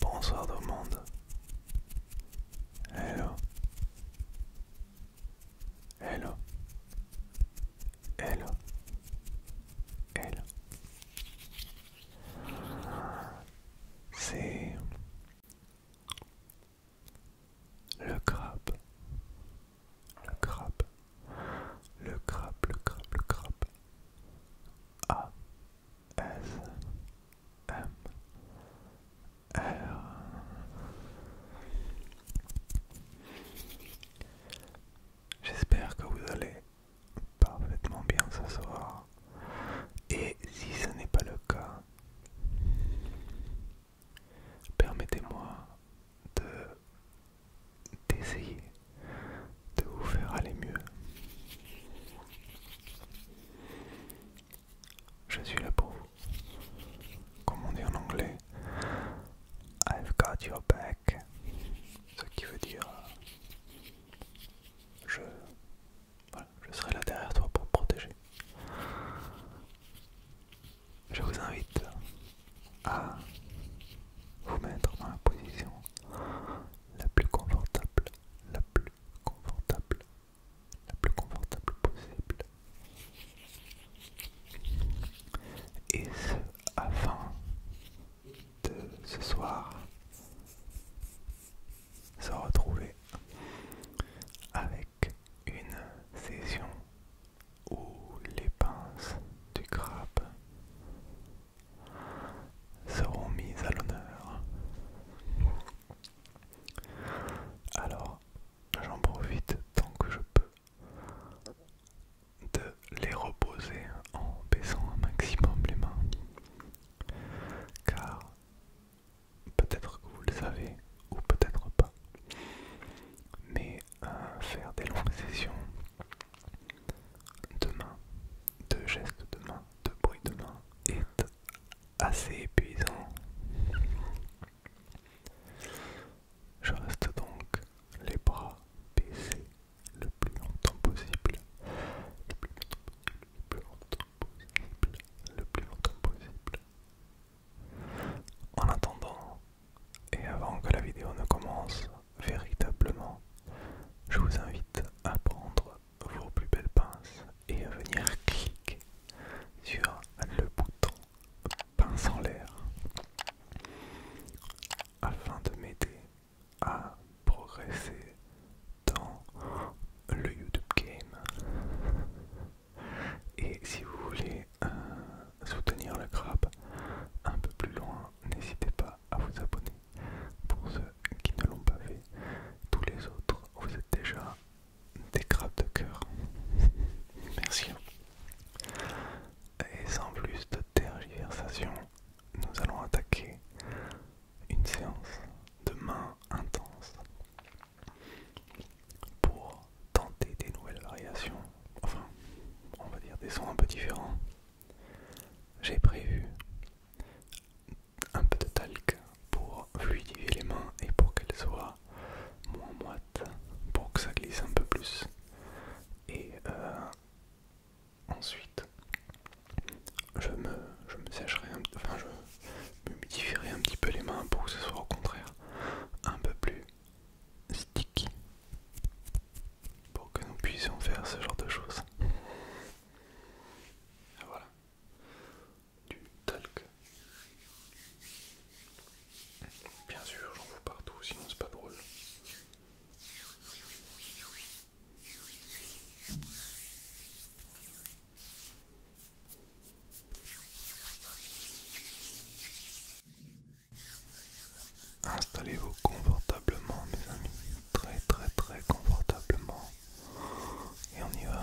Bonsoir tout le monde. Hello. Hello. Hello. Hello. C'est le crabe. Le crabe. Le crabe, le crabe, le crabe. A. S. M. R. J'espère que vous allez parfaitement bien ce soir. Et si ce n'est pas le cas, Permettez-moi de d'essayer de vous faire aller mieux. Je suis là pour vous. Comme on dit en anglais, I've got your back. Ce qui veut dire je, je serai là derrière toi pour protéger je vous invite à vous mettre dans la position la plus confortable, la plus confortable, la plus confortable possible. Et ce, afin de ce soir se retrouver avec une session où les pinces du crabe seront mises à l'honneur. Alors, j'en profite tant que je peux de les reposer en baissant un maximum les mains, car peut-être que vous le savez ou peut-être pas, mais faire des longues sessions de main, de gestes de main, de bruit de main est assez épuisant. Je reste donc les bras baissés le plus longtemps possible, le plus longtemps possible, le plus longtemps possible, en attendant, et avant que la vidéo ne commence véritablement, je vous invite à prendre vos plus belles pinces et à venir cliquer sur le bouton pince en l'air afin de m'aider à progresser dans le YouTube game. Et si vous voulez euh, soutenir le crabe un peu plus loin, n'hésitez pas à vous abonner. Pour ceux qui ne l'ont pas fait, tous les autres, vous êtes déjà des crabes de cœur. Merci. Et sans plus de tergiversation, nous allons attaquer une séance de main intense pour tenter des nouvelles variations, enfin, on va dire des sons un peu différents, j'ai prévu un peu de talc pour fluidifier les mains et pour qu'elles soient moins moites, pour que ça glisse un peu plus. Et euh, ensuite, je me, je me sécherai, un, peu différer un petit peu les mains pour que ce soit au contraire un peu plus sticky pour que nous puissions faire ce genre de choses. Voilà, du talc. Bien sûr, j'en fous partout, sinon c'est pas drôle. Installez-vous confortablement mes amis, très très très confortablement. Et on y va.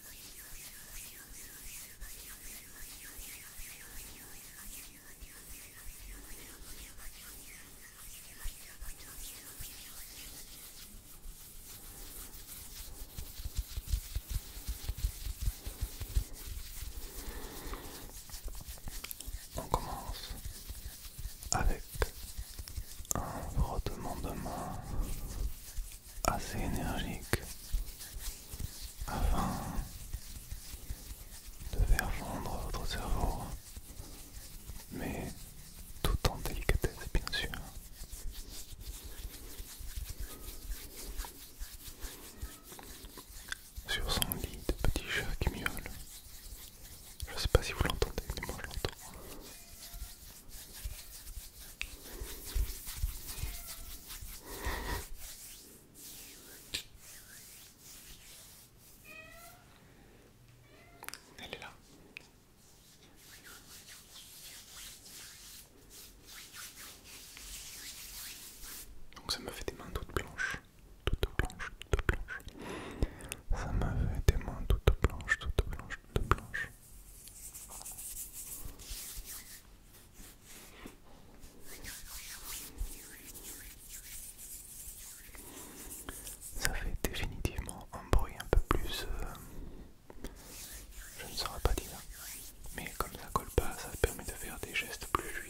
On commence avec un frottement de main assez énergique afin de faire fondre votre cerveau, mais tout en délicatesse bien sûr. Sur son lit de petit chat qui miaule. Je sais pas si vous l'entendez, mais moi je l'entends. Elle est là. Donc ça me fait des mains toutes blanches, toutes blanches, toutes blanches. Ça m'a fait des mains toutes blanches, toutes blanches, toutes blanches. Ça fait définitivement un bruit un peu plus... Euh, je ne saurais pas dire. Mais comme ça colle pas, ça permet de faire des gestes plus fluides.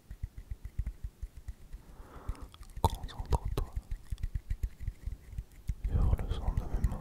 Concentre-toi sur le son de mes mains.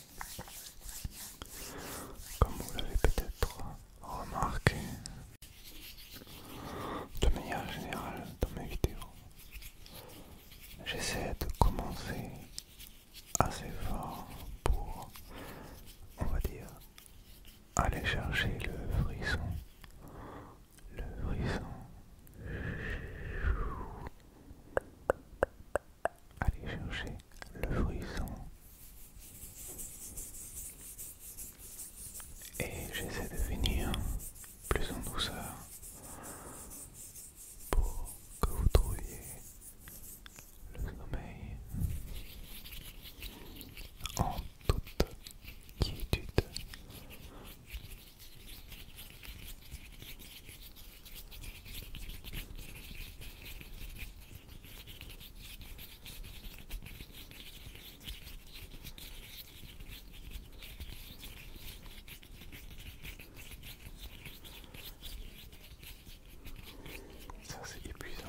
Comme vous l'avez peut-être remarqué de manière générale dans mes vidéos, j'essaie de commencer assez fort pour, on va dire, aller chercher le frisson. Le frisson. Allez chercher le frisson. Et j'essaie de venir plus en douceur pour que vous trouviez le sommeil en toute quiétude. Ça c'est épuisant.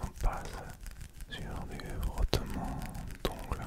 On passe sur des frottements d'ongles. Hein.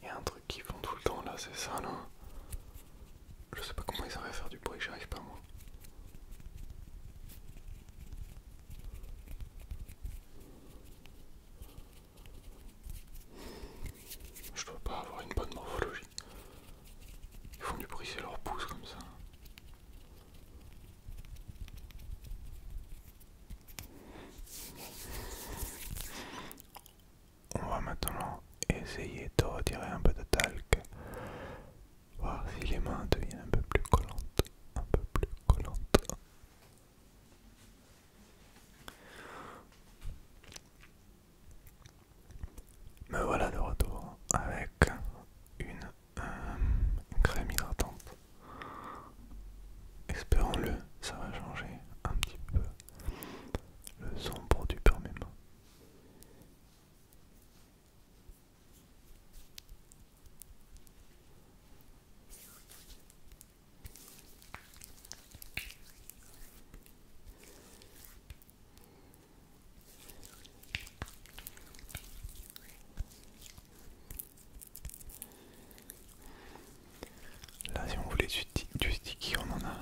Il y a un truc qui font tout le temps là, c'est ça non je sais pas comment ils arrivent à faire du bruit, j'arrive pas moi. Je dois pas avoir une bonne morphologie. Ils font du bruit, c'est leur pouce comme ça. On va maintenant essayer de retirer un peu de talc si les mains deviennent un peu plus collantes, un peu plus collantes. Me voilà de retour avec une, euh, une crème hydratante. Espérons-le, ça va changer un petit peu le son produit par mes mains. Là, si on voulait du, du sticky, on en a.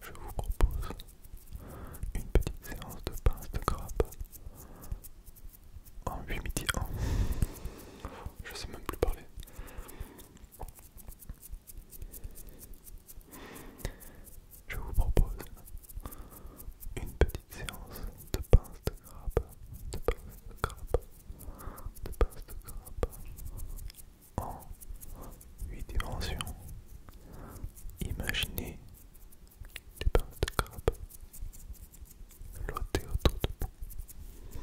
Je vous propose une petite séance de pince de crabe en 8 midi 10 Je sais même plus parler je vous propose une petite séance de pince de crabe, de pince de crabe, de pince de crabe en 8 dimensions. Imaginez des pinces de crabe flotter autour de vous.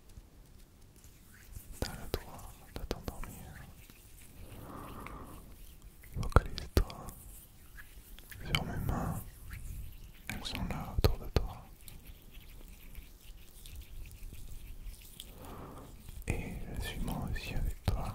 T'as le droit de t'endormir. Focalise-toi sur mes mains. Elles sont là autour de toi. Et je suis moi aussi avec toi.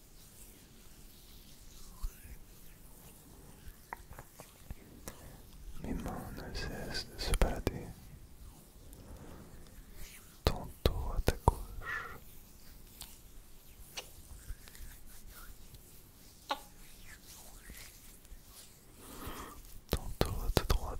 Mes mains ne cessent de se balader, tantôt à ta gauche, tantôt à ta droite.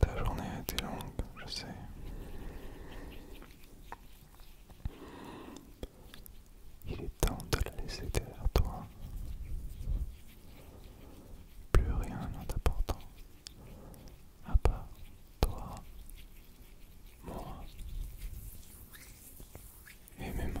Ta journée a été longue, je sais. Il est temps de la laisser derrière toi. Plus rien n'est important, À part toi, moi et mes mains.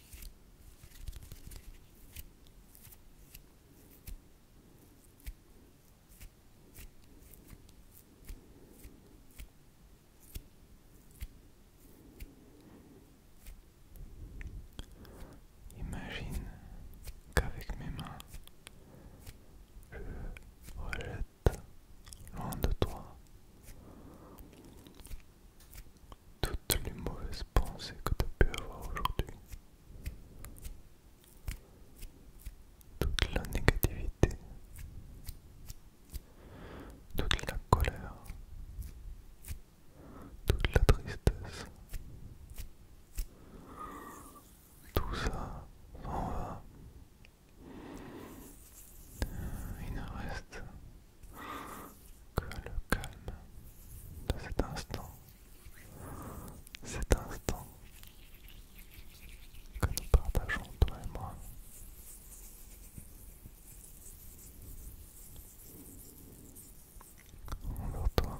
Imagine qu'avec mes mains, je rejette loin de toi toutes les mauvaises pensées que tu as pu avoir aujourd'hui, toute la négativité, toute la colère, toute la tristesse, tout ça s'en va. Il ne reste que le calme de cet instant, cet instant que nous partageons toi et moi. en toi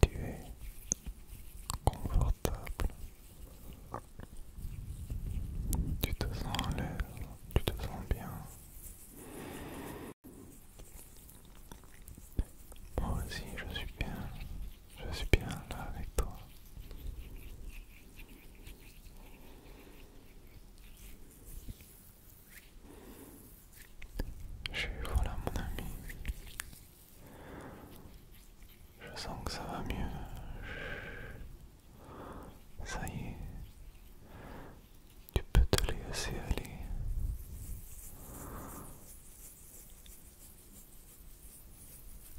Tu es confortable. Tu te sens à l'aise, tu te sens bien. Moi aussi, je suis bien. Je suis bien là avec toi. Je suis voilà mon ami. Je sens que ça va mieux. Ça y est. Tu peux te laisser aller.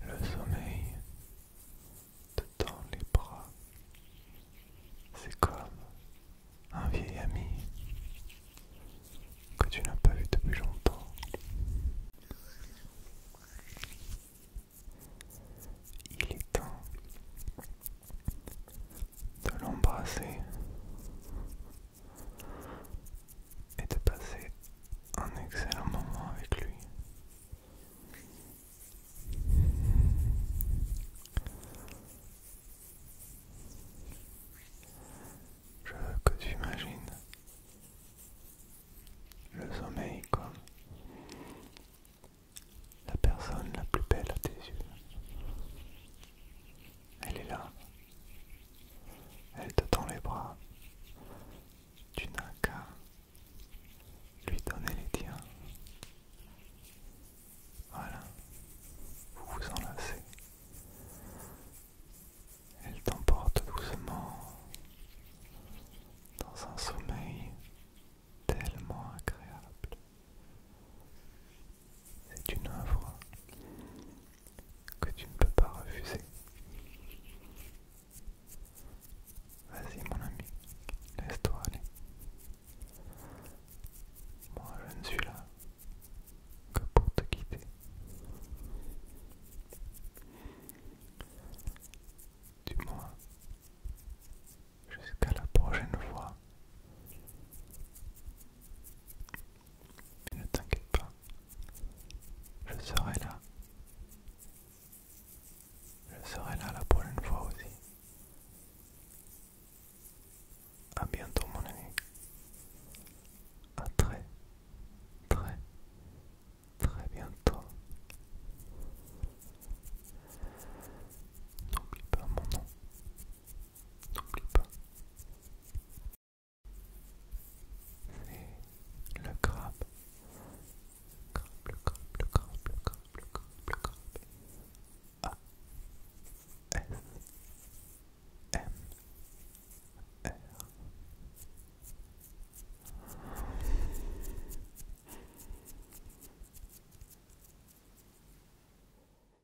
Le sommeil te tend les bras. C'est comme un vieil ami que tu n'as pas vu depuis longtemps. Il est temps de l'embrasser et de passer un excellent moment avec lui. Je veux que tu imagines le sommeil comme la personne la plus belle à tes yeux. Elle est là. Elle te tend les bras. Tu n'as qu'à lui donner les tiens. Voilà. Vous vous enlacez. Elle t'emporte doucement dans un sommeil tellement agréable. C'est une œuvre que tu ne peux pas refuser. Vas-y mon ami, laisse-toi aller. Moi je ne suis là que pour te quitter. Du moins, jusqu'à la prochaine fois mais ne t'inquiète pas, je serai là. Je serai là la une fois aussi. À bientôt mon ami. À très, très, très bientôt. N'oublie pas mon nom. N'oublie pas. C'est le crabe. Crabe, le crabe, crabe, crabe, crabe, crabe. A. S. M. R.